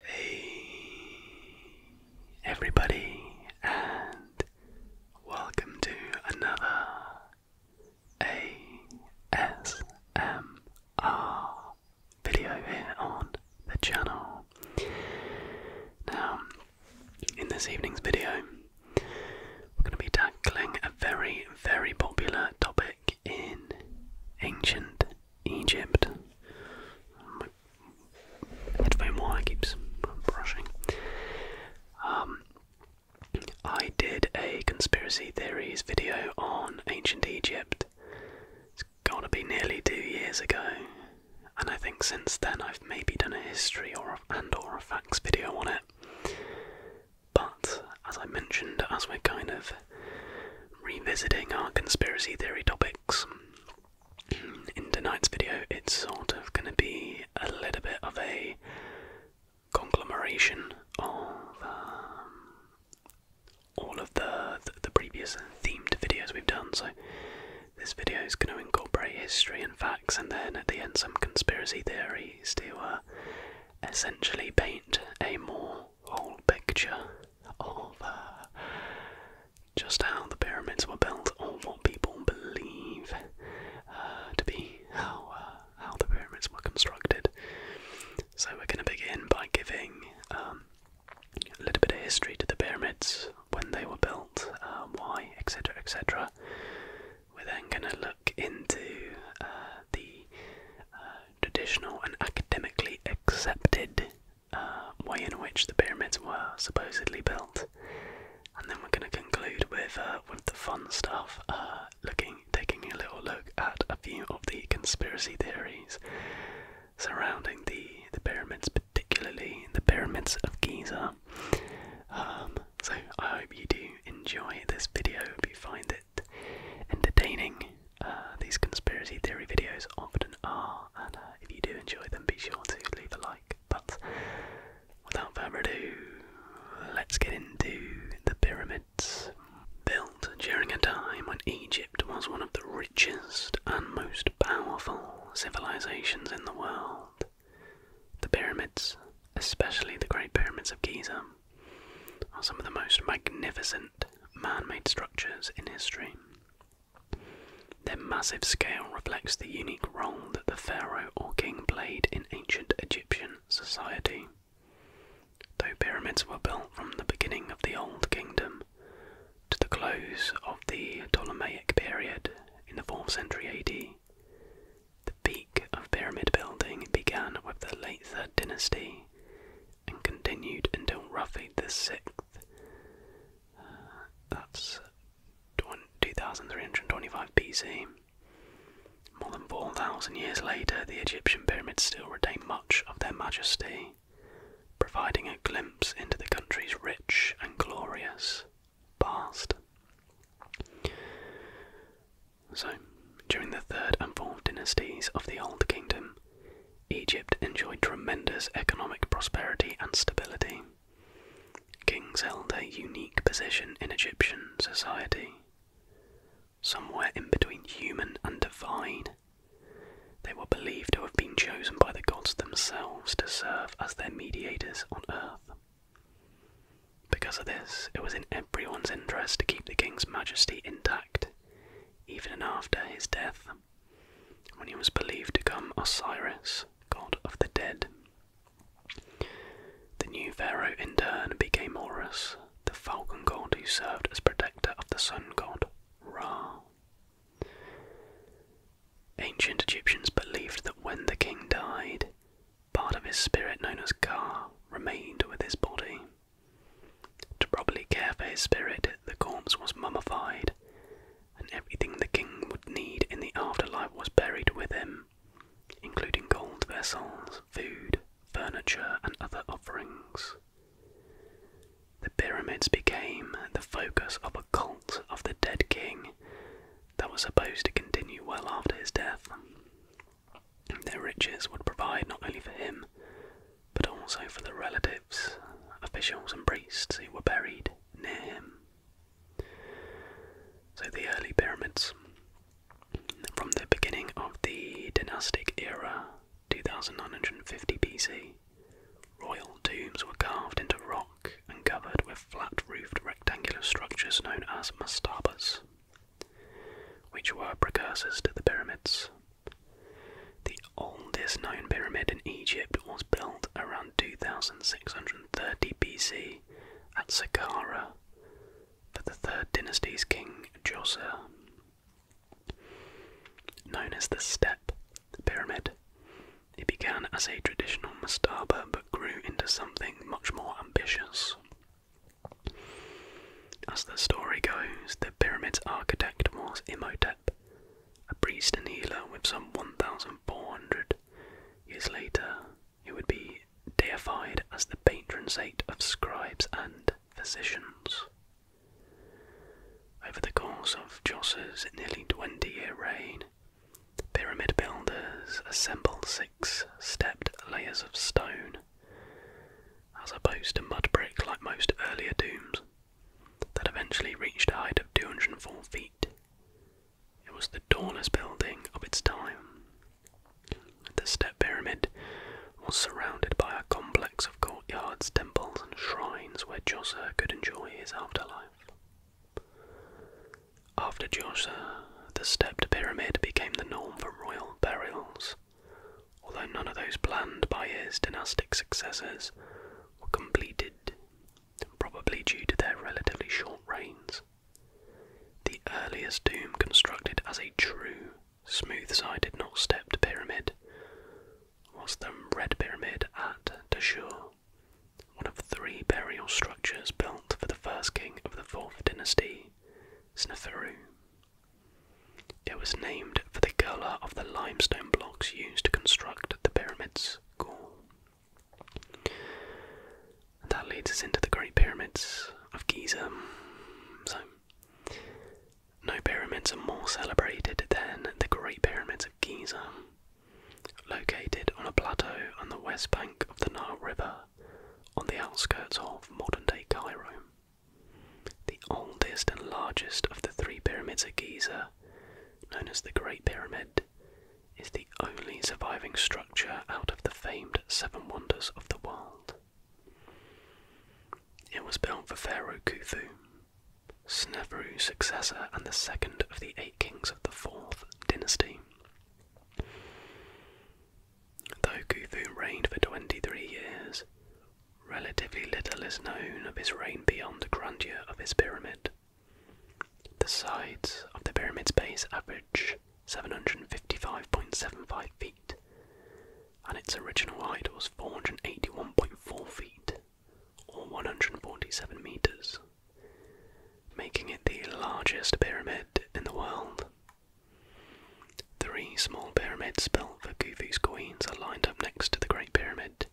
Hey everybody, and welcome to another ASMR video here on the channel. Now, in this evening's video, we're going to be tackling a very, very popular topic in ancient Egypt. That's been why I brushing. Um, I did a conspiracy theories video on ancient Egypt. It's gotta be nearly two years ago, and I think since then I've maybe done a history or and or a facts video on it. But as I mentioned, as we're kind of revisiting our conspiracy theory topic, in tonight's video, it's sort of going to be a little bit of a conglomeration of um, all of the, the, previous themed videos we've done. So this video is going to incorporate history and facts, and then at the end, some conspiracy theories to uh, essentially paint a more whole picture of just how the pyramids were built, or what people believe uh, to be how uh, how the pyramids were constructed. So we're going to begin by giving um, a little bit of history to the pyramids, when they were built, uh, why, etc., etc. We're then going to look into the traditional and academically accepted um, way in which the pyramids were supposedly built, and then we're going to conclude with uh, with the fun stuff, uh, looking taking a little look at a few of the conspiracy theories surrounding the the pyramids, particularly the pyramids of Giza. Um, so I hope you do enjoy this video. If you find it entertaining, uh, these conspiracy theory videos often are, and uh, if you do enjoy them, be sure to leave a like. But without further ado, let's get into the pyramids. Built during a time when Egypt was one of the richest and most powerful civilizations in the world, the pyramids, especially the Great Pyramids of Giza, are some of the most magnificent man made structures in history. Their massive scale reflects the unique role that the pharaoh or king played in ancient Egyptian society. Though pyramids were built from the beginning of the Old Kingdom to the close of the Ptolemaic period in the 4th century AD, the peak of pyramid building began with the late Third Dynasty and continued until roughly the 6th. Uh, that's 2325 BC. More than 4,000 years later, the Egyptian pyramids still retain much of their majesty, providing a glimpse into the country's rich and glorious past. So, during the third and fourth dynasties of the Old Kingdom, Egypt enjoyed tremendous economic prosperity and stability. Kings held a unique position in Egyptian society. Somewhere in between human and divine, they were believed to have been chosen by the gods themselves to serve as their mediators on earth. Because of this, it was in everyone's interest to keep the king's majesty intact, even after his death when he was believed to become Osiris, god of the dead. The new pharaoh in turn became Horus, the falcon god who served as protector of the sun god Ra. Ancient Egyptians believed that when the king died, part of his spirit known as Ka remained with his body, to properly care for his spirit, the corpse was mummified, and everything the king would need in the afterlife was buried with him, including gold vessels, food, furniture, and other offerings. The pyramids became the focus of a cult of the dead king that was supposed to continue well after his death. Their riches would provide not only for him, but also for the relatives, officials, and priests who were buried near him. So the early pyramids. From the beginning of the dynastic era, 2950 BC, royal tombs were carved into rock and covered with flat roofed rectangular structures known as mastabas, which were precursors to the pyramids. The oldest known pyramid in Egypt was built around 2630 BC at Saqqara for the Third Dynasty's king Djoser. Known as the Step Pyramid, it began as a traditional mastaba but grew into something much more ambitious. As the story goes, the pyramid's architect was Imhotep, a priest and healer with some 1,400 years later, he would be deified as the patron saint of scribes and physicians. Over the course of Jos's nearly 20 year reign, pyramid builders assembled six stepped layers of stone as opposed to mud brick like most earlier tombs, that eventually reached a height of 204 feet. It was the tallest building of its time. The step pyramid was surrounded by a complex of courtyards, temples, and shrines where Chaucer could enjoy his afterlife. After Chaucer, the stepped pyramid became the norm for royal burials, although none of those planned by his dynastic successors were completed, probably due to their relatively short reigns. The earliest tomb constructed as a true, smooth sided, not stepped pyramid was the Red Pyramid at Dashur, one of three burial structures built for the first king of the fourth dynasty, Sneferu. It was named for the colour of the limestone blocks used to construct the pyramids, that leads us into the Great Pyramids of Giza. So, no pyramids are more celebrated than the Great Pyramids of Giza, located on a plateau on the west bank of the Nile River, on the outskirts of modern day Cairo. The oldest and largest of the three pyramids at Giza, known as the Great Pyramid, is the only surviving structure out of the famed Seven Wonders of the World. It was built for Pharaoh Khufu, Sneferu's successor and the second of the eight kings of the Fourth Dynasty. Though Khufu reigned for 23 years, Relatively little is known of his reign beyond the grandeur of his pyramid. The sides of the pyramid's base average 755.75 feet, and its original height was 481.4 feet, or 147 meters, making it the largest pyramid in the world. Three small pyramids built for Khufu's queens are lined up next to the Great Pyramid,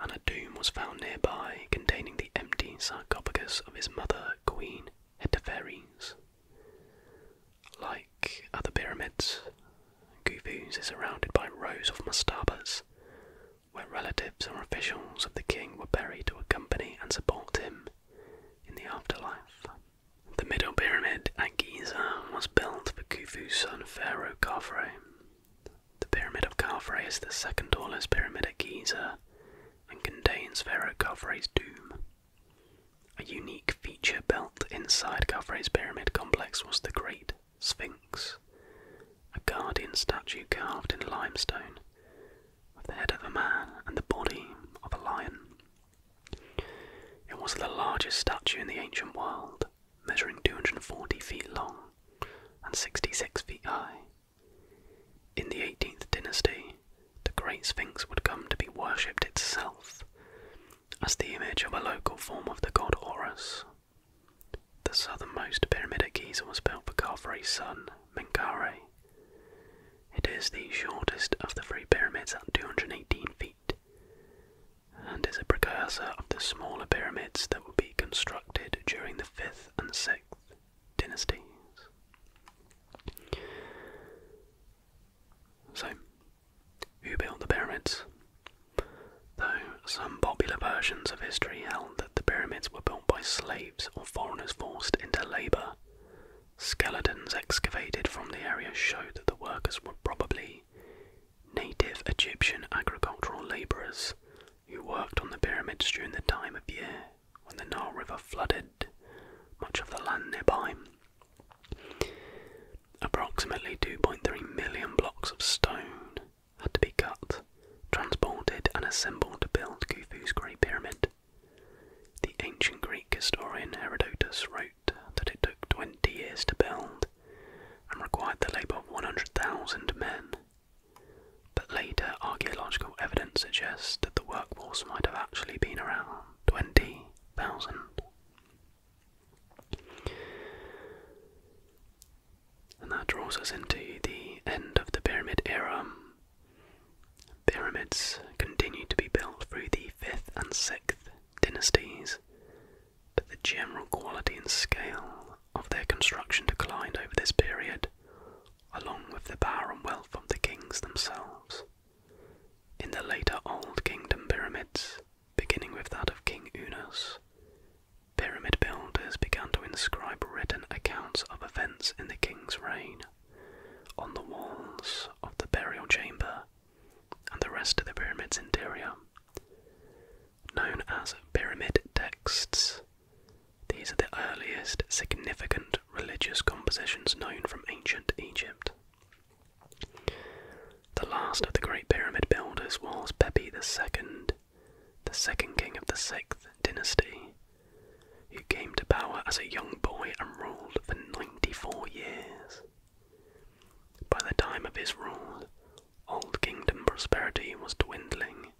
and a tomb was found nearby containing the empty sarcophagus of his mother, Queen Hetepheres. Like other pyramids, Khufu's is surrounded by rows of mastabas, where relatives or officials of the king were buried to accompany and support him in the afterlife. The middle pyramid at Giza was built for Khufu's son Pharaoh Khafre. The Pyramid of Khafre is the second tallest pyramid at Giza and contains Pharaoh Khafre's tomb. A unique feature built inside Khafre's pyramid complex was the Great Sphinx, a guardian statue carved in limestone, with the head of a man and the body of a lion. It was the largest statue in the ancient world, measuring 240 feet long and 66 feet high. In the 18th dynasty, the Great Sphinx would come to be worshipped itself as the image of a local form of the god Horus. The southernmost pyramid at Giza was built for Khafre's son, Menkaure. It is the shortest of the three pyramids at 218 feet and is a precursor of the smaller pyramids that would be constructed during the 5th and 6th dynasties. So, who built the pyramids? Though some popular versions of history held that the pyramids were built by slaves or foreigners forced into labour, Skeletons excavated from the area show that the workers were probably native Egyptian agricultural labourers who worked on the pyramids during the time of year when the Nile River flooded much of the land nearby. Approximately 2.3 million blocks of stone had to be cut, transported, and assembled to build Khufu's Great Pyramid. The ancient Greek historian Herodotus wrote that it took 20 years to build and required the labour of 100,000 men. But later archaeological evidence suggests that the workforce might have actually been around 20,000. And that draws us into the end of the pyramid era. Pyramids continued to be built through the 5th and 6th dynasties, but the general quality and scale of their construction declined over this period, along with the power and wealth of the kings themselves. In the later Old Kingdom pyramids, beginning with that of King Unas, pyramid builders began to inscribe written accounts of events in the king's reign on the walls of the burial chamber and the rest of the pyramid's interior. Known as pyramid texts, these are the earliest significant religious compositions known from ancient Egypt. The last of the great pyramid builders was Pepi II, the second king of the sixth dynasty, who came to power as a young boy and ruled for 94 years. By the time of his rule, Old Kingdom prosperity was dwindling,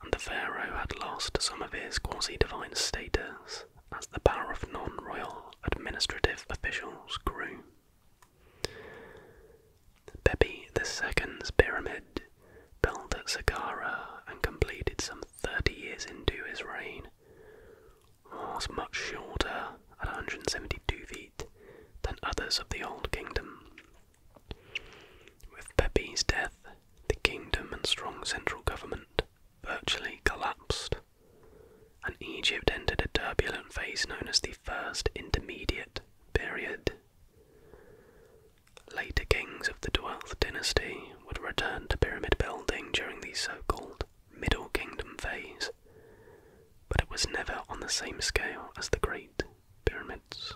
and the pharaoh had lost some of his quasi divine status as the power of non royal administrative officials grew. Pepi II's pyramid, built at Saqqara and completed some thirty years into his reign, was much shorter at 172 feet than others of the Old Kingdom. With Pepi's death, the kingdom and strong central government virtually collapsed, and Egypt entered a turbulent phase known as the First Intermediate Period. Later kings of the 12th dynasty would return to pyramid building during the so called Middle Kingdom phase, but it was never on the same scale as the Great Pyramids.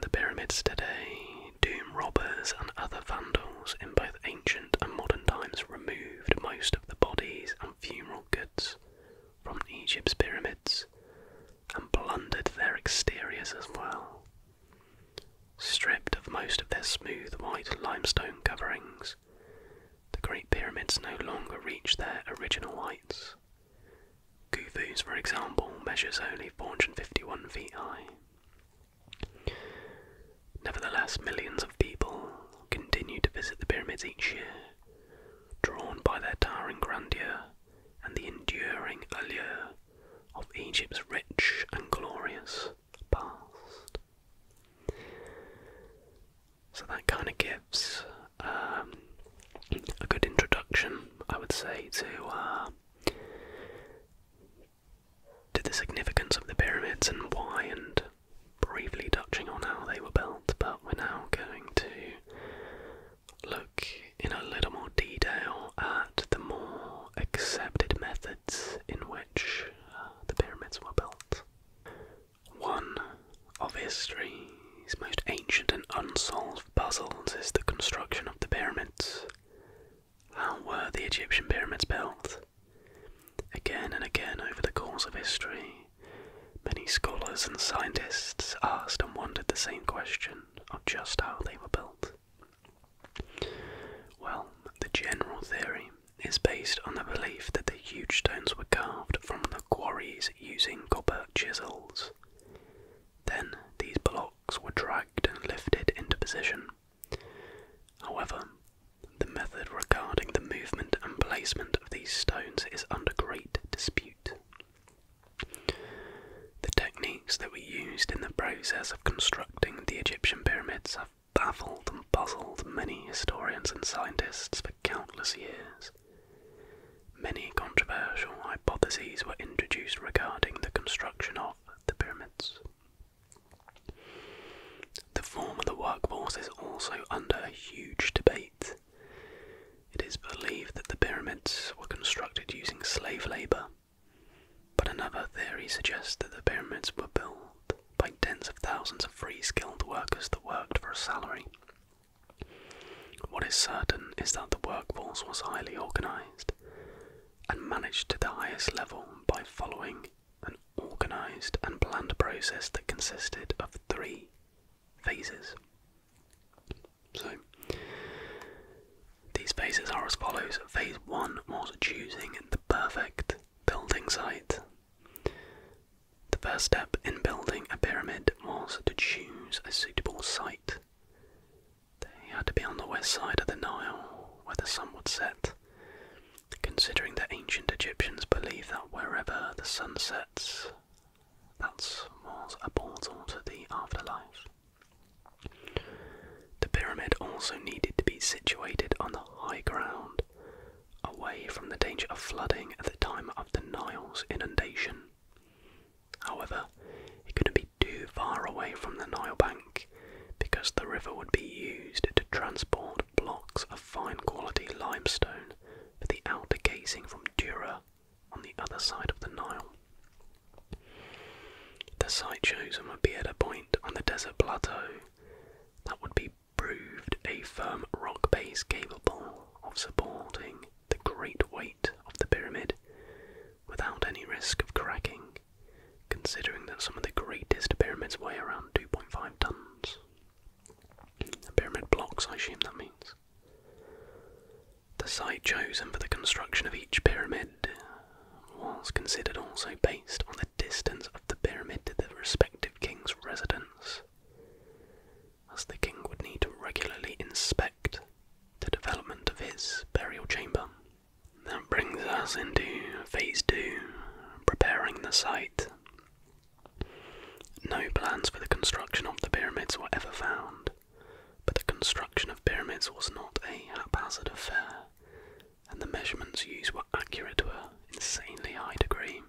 The pyramids today doom robbers and other vandals in both ancient and modern times removed most of the bodies and funeral goods from Egypt's pyramids and plundered their exteriors as well. Stripped of most of their smooth white limestone coverings, the Great Pyramids no longer reach their original heights. Khufu's, for example, measures only 451 feet high. Nevertheless, millions of people continue to visit the pyramids each year, drawn by their towering grandeur and the enduring allure of Egypt's rich and glorious past. So that kind of gives um, a good introduction, I would say, to uh, to the significance of the pyramids and why, and briefly touching on how they were built. But we're now going to look in a little more detail at the more accepted methods in which uh, the pyramids were built. One of history's most ancient and unsolved puzzles is the construction of the pyramids. How were the Egyptian pyramids built? Again and again over the course of history, many scholars and scientists asked and wondered the same question of just how they were built. Well, the general theory is based on the belief that the huge stones were carved from the quarries using copper chisels. Then these blocks were dragged and lifted into position. However, the method regarding the movement and placement of these stones is under great dispute. The technique that were used in the process of constructing the Egyptian pyramids have baffled and puzzled many historians and scientists for countless years. Many controversial hypotheses were introduced regarding the construction of the pyramids. The form of the workforce is also under huge debate. It is believed that the pyramids were constructed using slave labour but another theory suggests that the pyramids were built by tens of thousands of free skilled workers that worked for a salary. What is certain is that the workforce was highly organized and managed to the highest level by following an organized and planned process that consisted of three phases. So, these phases are as follows. Phase 1 was choosing the perfect building site. The first step in building a pyramid was to choose a suitable site. They had to be on the west side of the Nile, where the sun would set. Considering that ancient Egyptians believed that wherever the sun sets, that was a portal to the afterlife. The pyramid also needed to be situated on the high ground, away from the danger of flooding at the time of the Nile's inundation. However, it couldn't be too far away from the Nile bank because the river would be used to transport blocks of fine quality limestone for the outer casing from Dura on the other side of the Nile. The sideshows on would be at a point on the desert plateau that would be proved a firm rock base capable of supporting the great weight of the pyramid without any risk of cracking, considering that some of the greatest pyramids weigh around 2.5 tons. The pyramid blocks, I assume that means. The site chosen for the construction of each pyramid was considered also based on the distance of the pyramid to the respective king's residence, as the king would need to regularly inspect the development of his burial chamber. That brings us into phase two preparing the site. No plans for the construction of the pyramids were ever found, but the construction of pyramids was not a haphazard affair and the measurements used were accurate to an insanely high degree.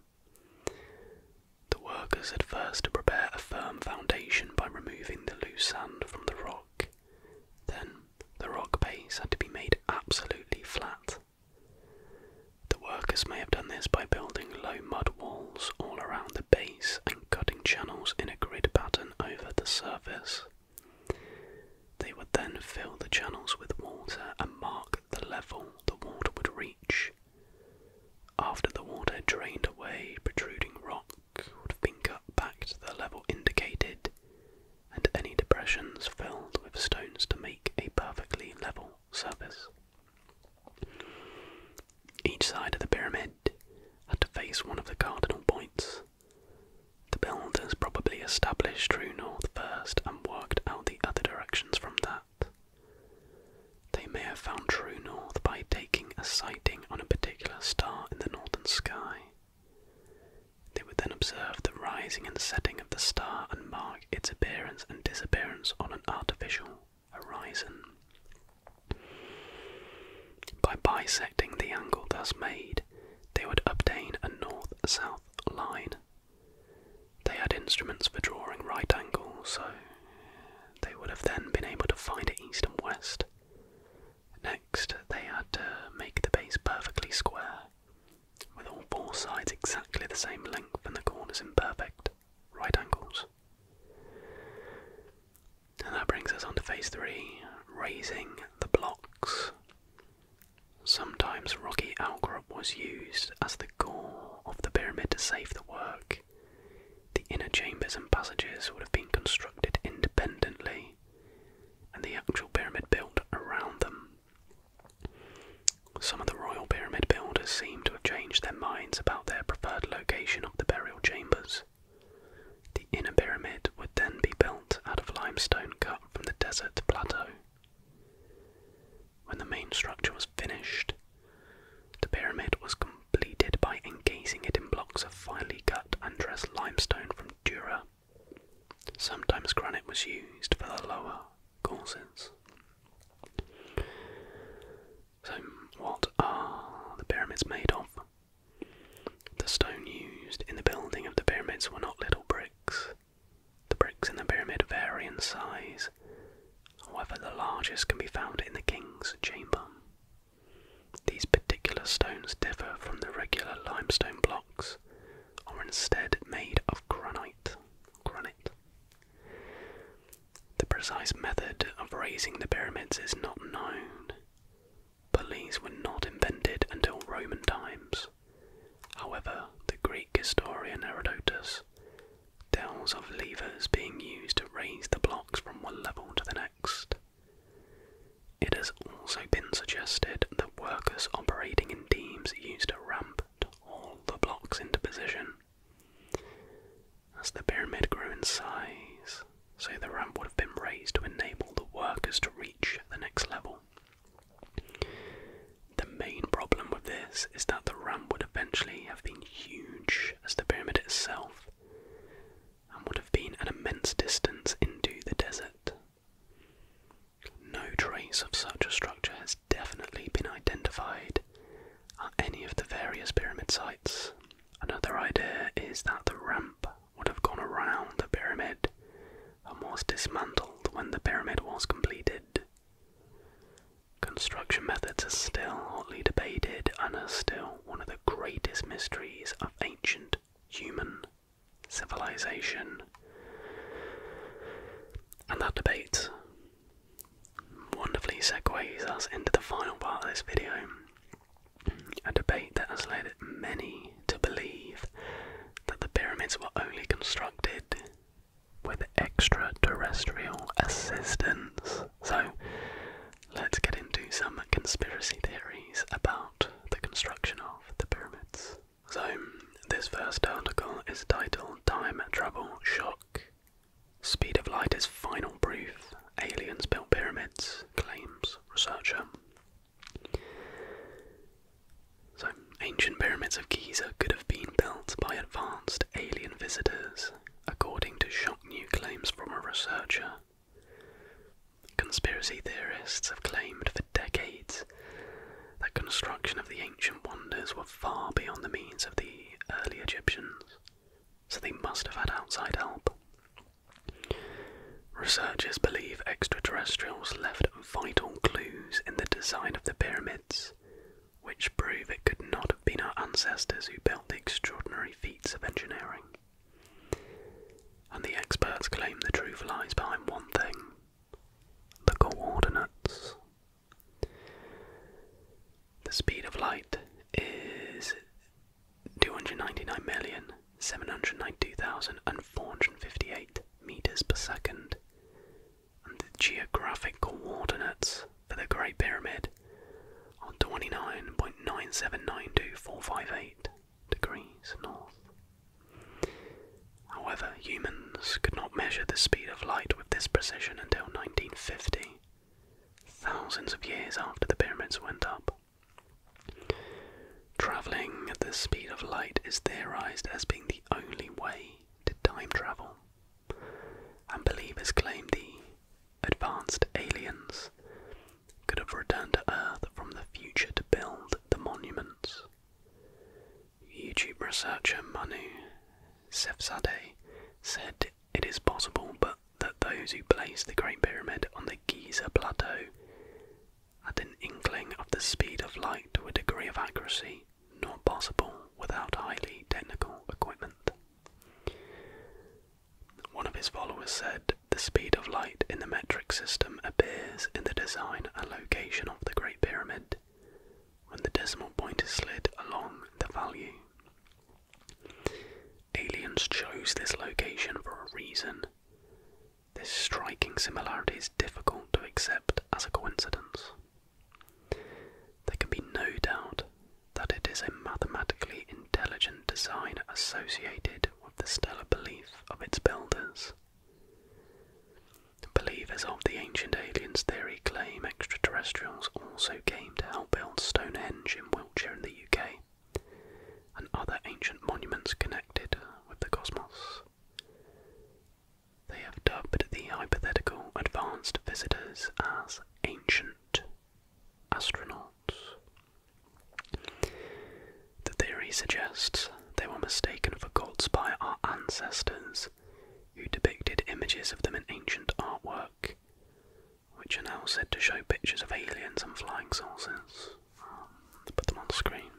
The workers had first to prepare a firm foundation by removing the loose sand from the rock. Then the rock base had to be made absolutely flat. The workers may have done this by building low mud walls all around the base and cutting channels in a grid pattern over the surface. They would then fill the channels with water and mark the level the water would reach. After the water drained away, protruding rock would have been cut back to the level indicated, and any depressions filled with stones to make a perfectly level surface. Each side of the pyramid had to face one of the cardinal points, the builders probably established true north first and worked out the other directions from that. They may have found true north by taking a sighting on a particular star in the northern sky. They would then observe the rising and setting of the star and mark its appearance and disappearance on an artificial horizon. By bisecting the angle thus made, they would obtain a north south line. They had instruments for drawing right angles, so they would have then been able to find it east and west. Next, they had to make the base perfectly square, with all four sides exactly the same length and the corners in perfect right angles. And that brings us on to phase three raising the blocks. Sometimes rocky outcrop was used as the core of the pyramid to save the work. The inner chambers and passages would have been constructed independently, and the actual pyramid built around them. Some of the royal pyramid builders seem to have changed their minds about their preferred location of the burial chambers. The inner pyramid would then be built out of limestone cut from the desert plateau. When the main structure was finished, the pyramid was completed by encasing it in blocks of finely cut undressed limestone from Dura. Sometimes granite was used for the lower courses. So, what are the pyramids made of? The stone used in the building of the pyramids were not little bricks. The bricks in the pyramid vary in size, however, the largest can be found in the king's chamber. These particular stones differ from the regular limestone blocks, or instead made of granite. Granite. The precise method of raising the pyramids is not known. Police were not invented until Roman times. However, the Greek historian Herodotus tells of levers being used to raise the blocks from one level to the next. It has also been suggested that workers operating in teams used a ramp to haul the blocks into position. As the pyramid grew in size, so the ramp would have been raised to enable the workers to reach the next level. The main problem with this is that the ramp would eventually have been huge as the pyramid itself and would have been an immense distance into the desert. No trace of such a structure has definitely been identified at any of the various pyramid sites. Another idea is that the ramp would have gone around the pyramid and was dismantled when the pyramid was completed. Construction methods are still hotly debated and are still one of the greatest mysteries of ancient human civilization. And that debate wonderfully segues us into the final part of this video, a debate that has led many to believe that the pyramids were only constructed with extraterrestrial assistance. So, let's get into some conspiracy theories about the construction of the pyramids. So, this first article is titled Time Travel Shock. Speed of light is final proof. Aliens built pyramids, claims researcher. So, ancient pyramids of Giza could have been built by advanced alien visitors, according to shock new claims from a researcher. Conspiracy theorists have claimed for decades that construction of the ancient wonders were far beyond the means of the early Egyptians, so they must have had outside help. Researchers believe extraterrestrials left vital clues in the design of the pyramids, which prove it could not have been our ancestors who built the extraordinary feats of engineering. And the experts claim the truth lies behind one thing the coordinates. The speed of light is two hundred ninety nine million seven hundred ninety two thousand and four hundred fifty eight meters per second, and the geographic coordinates for the Great Pyramid are twenty nine point nine seven nine two four five eight degrees north. However, humans could not measure the speed of light with this precision until 1950, thousands of years after the pyramids went up. Travelling at the speed of light is theorized as being the only way to time travel, and believers claim the advanced aliens could have returned to Earth from the future to build the monuments. YouTube researcher Manu Sefzadeh said it is possible, but that those who placed the Great Pyramid on the Giza Plateau had an inkling of the speed of light to a degree of accuracy not possible without highly technical equipment. One of his followers said, The speed of light in the metric system appears in the design and location of the Great Pyramid when the decimal point is slid along the value. Aliens chose this location for a reason. This striking similarity is difficult to accept as a coincidence. There can be no doubt that it is a mathematically intelligent design associated with the stellar belief of its builders. Believers of the ancient aliens theory claim extraterrestrials also came to help build Stonehenge in Wiltshire in the UK and other ancient monuments connected with the cosmos. They have dubbed the hypothetical advanced visitors as ancient astronauts. The theory suggests they were mistaken for gods by our ancestors, who depicted images of them in ancient artwork, which are now said to show pictures of aliens and flying saucers. Um, put them on the screen.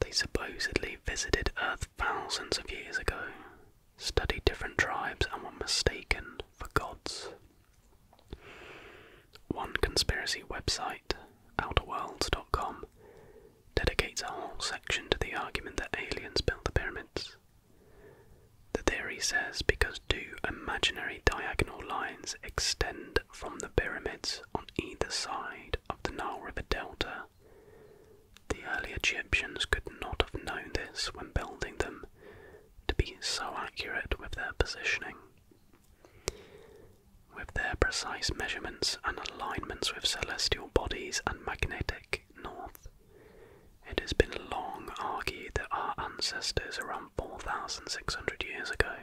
They supposedly visited Earth thousands of years ago, studied different tribes, and were mistaken for gods. One conspiracy website, outerworlds.com, dedicates a whole section to the argument that aliens built the pyramids. The theory says because two imaginary diagonal lines extend from the pyramids on either side of the Nile River Delta, the early Egyptians could not have known this when building them to be so accurate with their positioning. With their precise measurements and alignments with celestial bodies and magnetic north, it has been long argued that our ancestors around 4,600 years ago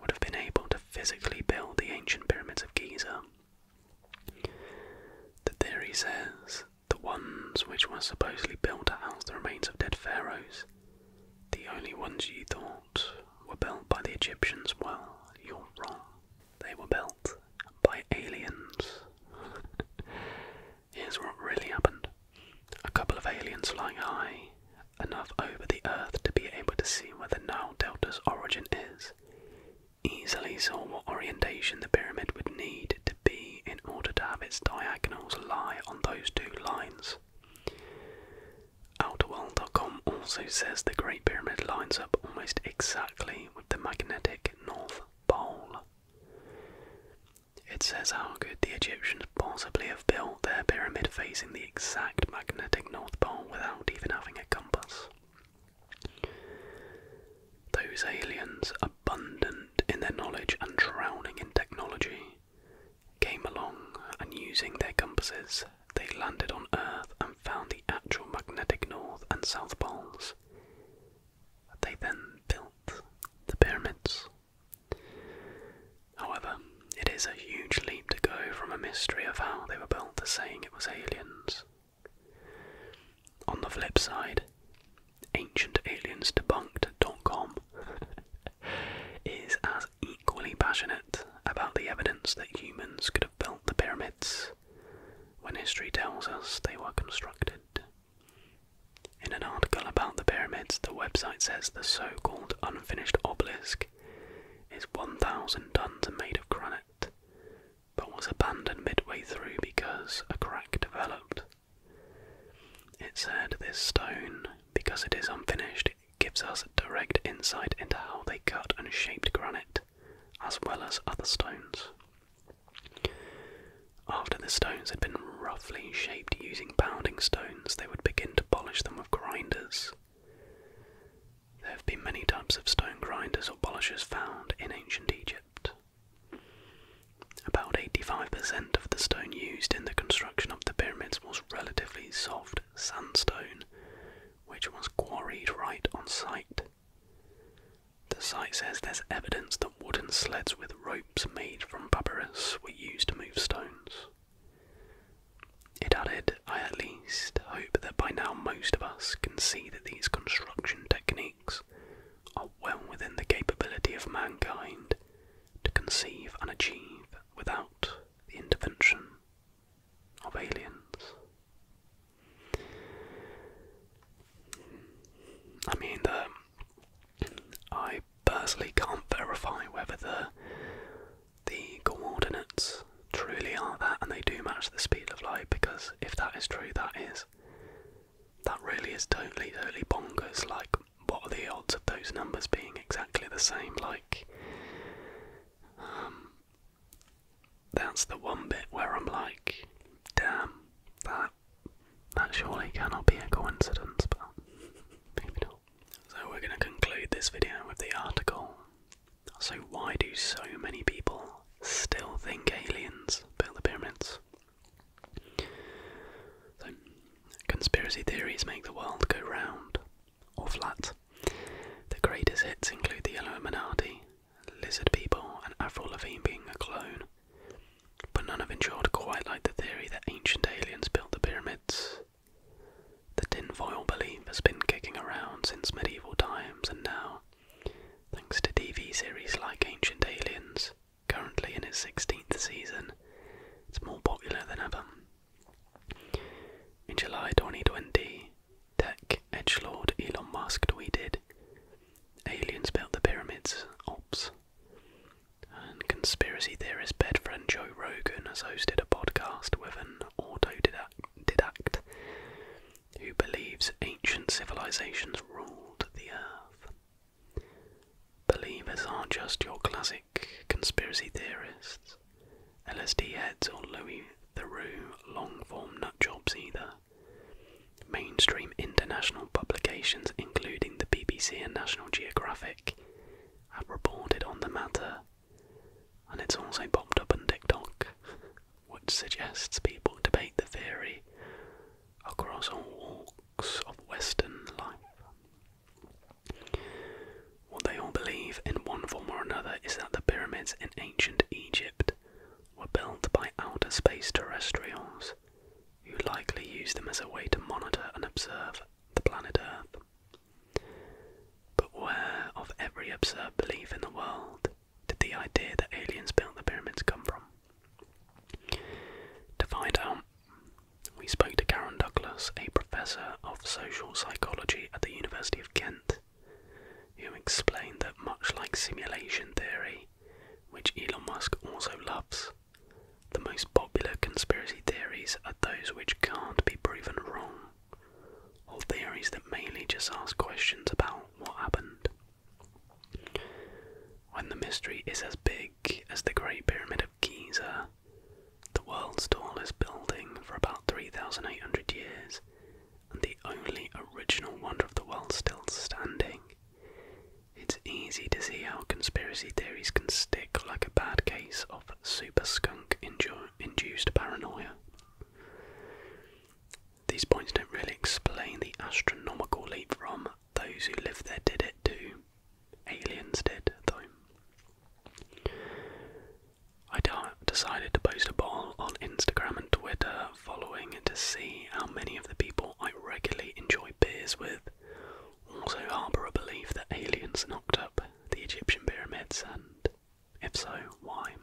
would have been able to physically build the ancient pyramids of Giza. The theory says the ones which were supposedly built to house the remains of dead pharaohs, the only ones you thought were built by the Egyptians, well, you're wrong. They were built by aliens. Here's what really happened a couple of aliens flying high, enough over the Earth to be able to see where the Nile Delta's origin is, easily saw what orientation the pyramid would need to be in order to have its diagonals lie on those two lines. Outerworld.com also says the Great Pyramid lines up almost exactly with the magnetic North Pole. It says how could the Egyptians possibly have built their pyramid facing the exact magnetic North Pole without even having a compass? Those aliens, abundant in their knowledge and drowning in technology, came along and using their compasses, they landed on Earth and found the actual magnetic North and South Poles. They then built the pyramids. However, it is a huge leap to go from a mystery of how they were built to saying it was aliens. On the flip side, ancient aliens debunked dot com is as equally passionate about the evidence that humans could have built the pyramids when history tells us they were constructed in an article about the pyramids, the website says the so called unfinished obelisk is 1,000 tons and made of granite, but was abandoned midway through because a crack developed. It said this stone, because it is unfinished, gives us direct insight into how they cut and shaped granite, as well as other stones. After the stones had been roughly shaped using pounding stones, they would begin to polish them with grinders. There have been many types of stone grinders or polishers found in ancient Egypt. About 85% of the stone used in the construction of the pyramids was relatively soft sandstone, which was quarried right on site. The site says there's evidence that wooden sleds with ropes made from papyrus were used to move stones. It added, I at least hope that by now most of us can see that these construction techniques are well within the capability of mankind to conceive and achieve without the intervention of aliens. I mean, the, I personally can't verify whether the the coordinates truly are that, and they do match the speed of light. Because if that is true, that is that really is totally, totally bonkers. Like, what are the odds of those numbers being exactly the same? Like, um, that's the one bit where I'm like, damn, that that surely cannot be a coincidence, but maybe not. So, we're going to conclude this video with the article. So, why do so many people still think aliens built the pyramids? So, conspiracy theories make the world go round or flat. The greatest hits include the Illuminati, lizard people, and Avril Lavigne being a clone. But none have endured quite like the theory that ancient aliens built the pyramids. The tin foil belief has been kicking around since medieval times and now, thanks to TV series like Ancient Aliens, currently in its 16th season, it's more popular than ever. In July 2020, tech edgelord Elon Musk tweeted, Aliens built the pyramids, ops. And conspiracy theorist bed friend Joe Rogan has hosted a podcast with an autodidact who believes ancient civilizations ruled the earth. Believers are just your classic conspiracy theorists, LSD heads, or Louis Theroux long form nut nutjobs either. Mainstream international publications, including the BBC and National Geographic, have reported on the matter, and it's also popped up on TikTok, which suggests people debate the theory across all walks of Western life. What they all believe, in one form or another, is that the pyramids in ancient Egypt were built by outer space terrestrials beings, who likely used them as a way to monitor and observe the planet Earth. But where, of every absurd belief in the world, did the idea that aliens built the pyramids come from? To find out, we spoke to Karen Douglas, a professor of social psychology at the University of Kent, who explained that much like simulation theory, which Elon Musk also loves. The most popular conspiracy theories are those which can't be proven wrong, or theories that mainly just ask questions about what happened. When the mystery is as big as the Great Pyramid of Giza, the world's tallest building for about 3,800 years, and the only original wonder of the world still standing, it's easy to see how conspiracy theories can stick like a bad case of super skunk induced paranoia. These points don't really explain the astronomical leap from those who lived there did it to aliens did, though. I decided to post a ball on Instagram and Twitter Following and to see how many of the people I regularly enjoy beers with also harbour a belief that aliens knocked up the Egyptian pyramids, and if so, why?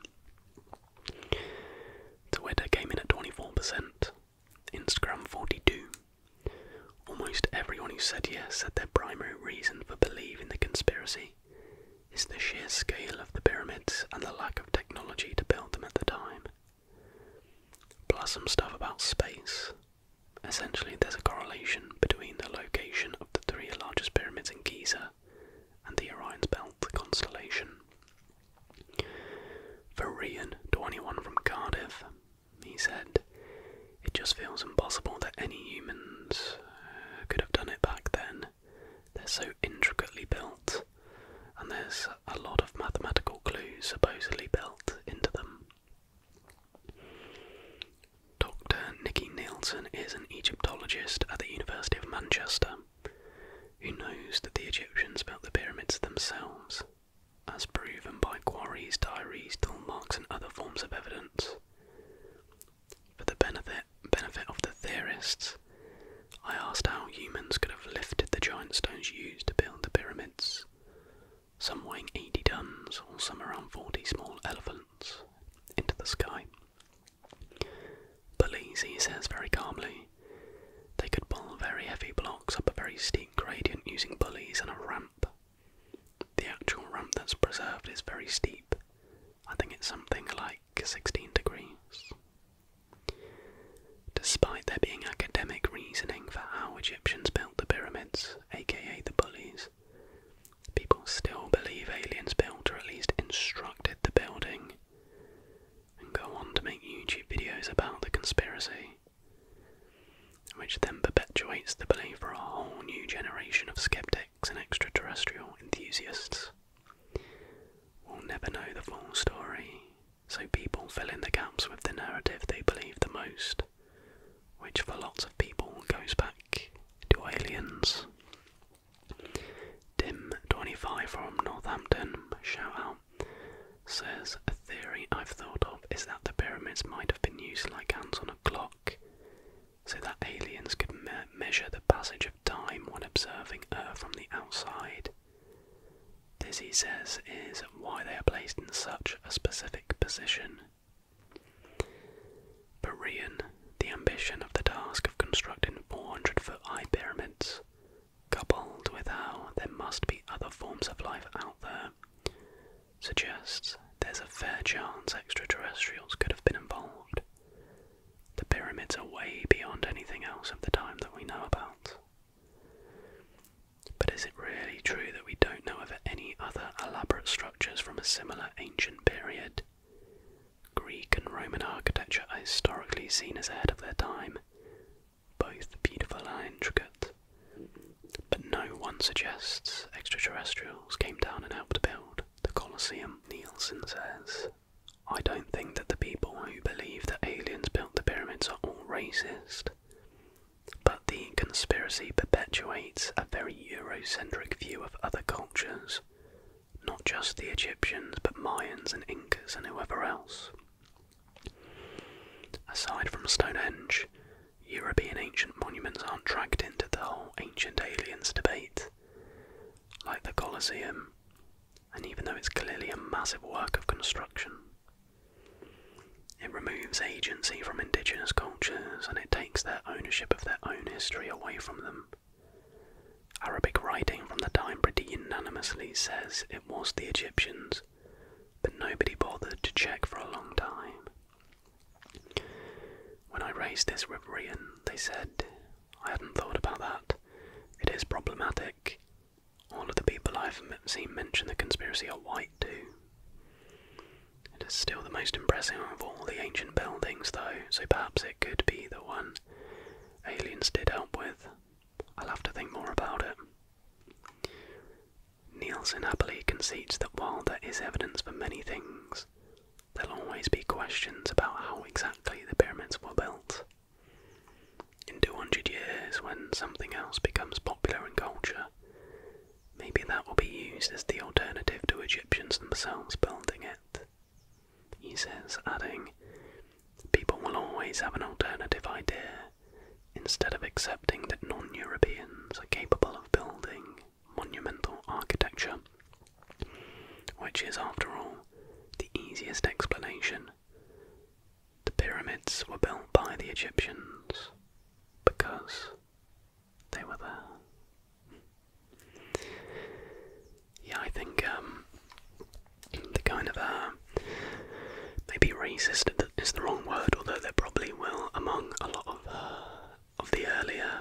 Twitter came in at 24%, Instagram 42 Almost everyone who said yes said their primary reason for believing the conspiracy is the sheer scale of the pyramids and the lack of technology to build them at the time. Plus some stuff about space. Essentially, there's a correlation between the location of the three largest pyramids in Giza and the Orion's Belt constellation. For Rian, 21 from Cardiff, he said, It just feels impossible that any humans uh, could have done it back then. They're so intricately built, and there's a lot of mathematical clues supposedly built into them. Dr. Nicky Nielsen is an Egyptologist at the University of Manchester who knows that the Egyptians built the pyramids themselves, as proven by quarries, diaries, tool marks, and other forms of evidence. For the benefit, benefit of the theorists, I asked how humans could have lifted the giant stones used to build the pyramids, some weighing 80 tons or some around 40 small elephants, into the sky. Police, he says very calmly, they could pull very heavy blocks up a very steep gradient using pulleys and a ramp. The actual ramp that's preserved is very steep. I think it's something like 16 degrees, Despite there being academic reasoning for how Egyptians built the pyramids, aka the bullies, people still believe aliens built or at least instructed the building and go on to make YouTube videos about the conspiracy, which then perpetuates the belief for a whole new generation of skeptics and extraterrestrial enthusiasts. We'll never know the full story so people fill in the gaps with the narrative they believe the most, which for lots of people goes back to aliens. Dim25 from Northampton, shout out, says a theory I've thought of is that the pyramids might have been used like hands on a clock, so that aliens could measure the passage of time when observing Earth from the outside. This, he says, is why they are placed in such a specific position. Berean, the ambition of the task of constructing 400 foot high pyramids, coupled with how there must be other forms of life out there, suggests there's a fair chance extraterrestrials could have been involved. The pyramids are way beyond anything else of the time that we know about. But is it really true that we don't know of any other elaborate structures from a similar ancient period? Greek and Roman architecture are historically seen as ahead of their time, both beautiful and intricate. But no one suggests extraterrestrials came down and helped build the Colosseum. Nielsen says I don't think that the people who believe that aliens built the pyramids are all racist, but the conspiracy perpetuates a very Eurocentric view of other cultures, not just the Egyptians, but Mayans and Incas and whoever else. Aside from Stonehenge, European ancient monuments aren't dragged into the whole ancient aliens debate, like the Colosseum, and even though it's clearly a massive work of construction, it removes agency from indigenous cultures and it takes their ownership of their own history away from them. Arabic writing from the time pretty unanimously says it was the Egyptians, but nobody bothered to check for a long time. When I raised this with Rian, they said, I hadn't thought about that. It is problematic. All of the people I've seen mention the conspiracy are white too. It is still the most impressive of all the ancient buildings, though, so perhaps it could be the one aliens did help with. I'll have to think more about it. Nielsen happily concedes that while there is evidence for many things, there'll always be questions about how exactly the pyramids were built. In 200 years, when something else becomes popular in culture, maybe that will be used as the alternative to Egyptians themselves building it. He says, adding, People will always have an alternative idea instead of accepting that non Europeans are capable of building monumental architecture, which is, after all, the easiest explanation the pyramids were built by the Egyptians because they were there. Yeah, I think um, the kind of uh, maybe racist is the wrong word, although there probably will among a lot of of the earlier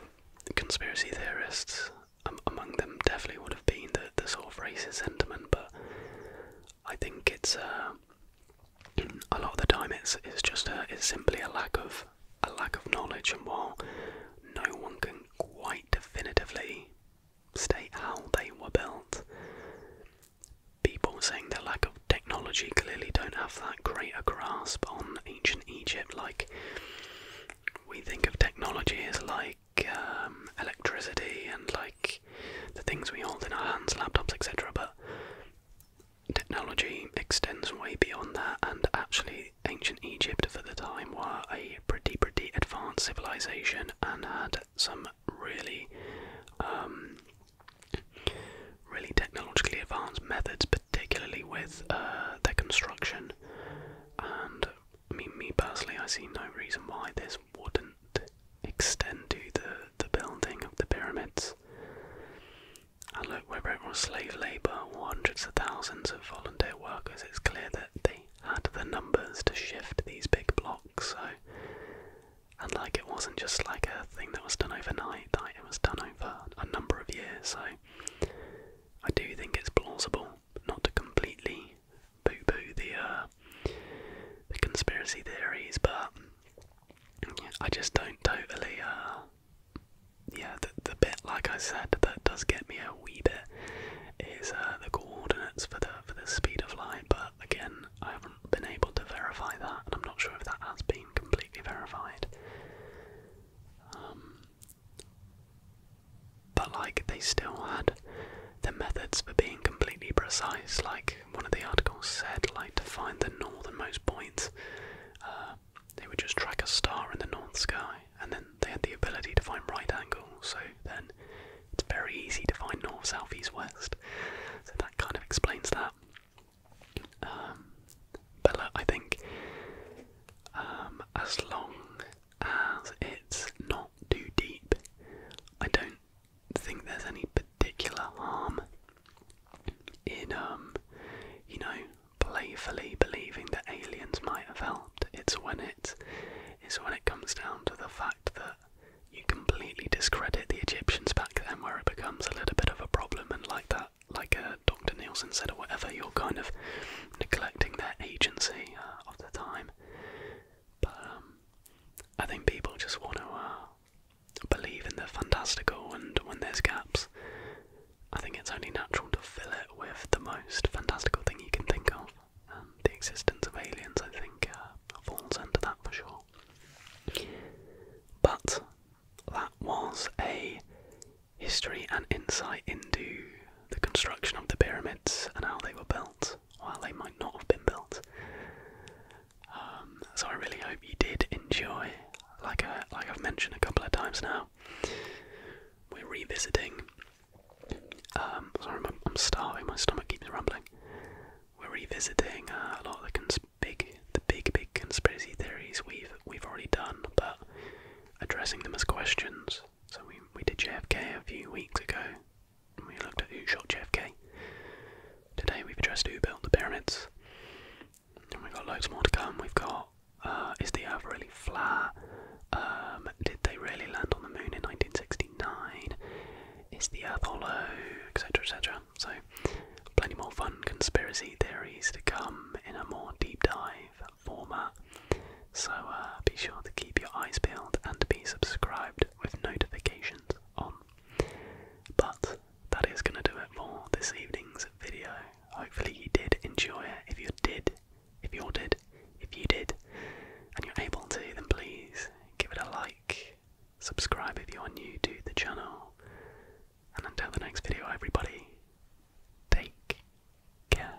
conspiracy theorists. Um, among them definitely would have been the the sort of racist sentiment, but I think it's uh, a lot of the time it's it's just a, it's simply a lack of a lack of knowledge, and while no one can quite definitively state how they were built, people saying their lack of technology clearly don't have that great a grasp on ancient Egypt. Like we think of technology as like um, electricity and like the things we hold in our hands, laptops, etc. But technology extends way beyond that, and actually, ancient Egypt for the time were a pretty, pretty advanced civilization and had some really, um, really technologically advanced methods, particularly with uh, their construction. And I me personally, I see no reason why this wouldn't extend to the, the building of the pyramids. And look, whether it was slave labour hundreds of thousands of volunteer workers, it's clear that they had the numbers to shift these big blocks. So, and like it wasn't just like a thing that was done overnight, like it was done over a number of years. So, I do think it's plausible not to completely poo-poo uh, the conspiracy theories, but I just don't totally. Uh, yeah, the, the bit like I said that does get me a wee bit is uh, the coordinates for the for the speed of light, but again, I haven't been able to verify that, and I'm not sure if that has been completely verified. Um, but like they still had the methods for being completely precise, like one of the articles said, like to find the northernmost point, uh, they would just track a star in the north sky, and then they had the ability to find right angles. So then it's very easy to find north, south, east, west. So that kind of explains that. Um, but look, I think um, as long as it's not too deep. I don't think there's any particular harm in um you know playfully believing that aliens might have helped. It's when it it's when it comes down to the fact that you completely discredit the Egyptians back then where it becomes a little bit of a problem and like that like uh, Dr. Nielsen said or whatever, you're kind of neglecting their agency uh, of the time. But um, I think people just want to uh, believe in the fantastical, and when there's gaps, I think it's only natural to fill it with the most fantastical thing you can think of. Um, the existence of aliens, I think, uh, falls under that for sure. But that was a history and insight into the construction of the pyramids and how they were built while they might not have been built. Um, so I really hope you did enjoy. Like uh, I, have mentioned a couple of times now, we're revisiting. Um, sorry, I'm, starving. My stomach keeps rumbling. We're revisiting uh, a lot of the big, the big, big conspiracy theories we've we've already done, but addressing them as questions. So we we did JFK a few weeks ago. We looked at who shot JFK. Today we've addressed who built the pyramids. And we've got loads more to come. We've got uh, is the Earth really flat? Um, did they really land on the moon in 1969? Is the Earth hollow? Etc. Etc. So plenty more fun conspiracy theories to come in a more deep dive format. So uh, be sure to keep your eyes peeled and be subscribed with notifications on. But that is going to do it for this evening's video. Hopefully you did enjoy it. If you did, if you all did, if you did, and you're able to, then please give it a like. Subscribe if you are new to the channel. And until the next video, everybody, take care.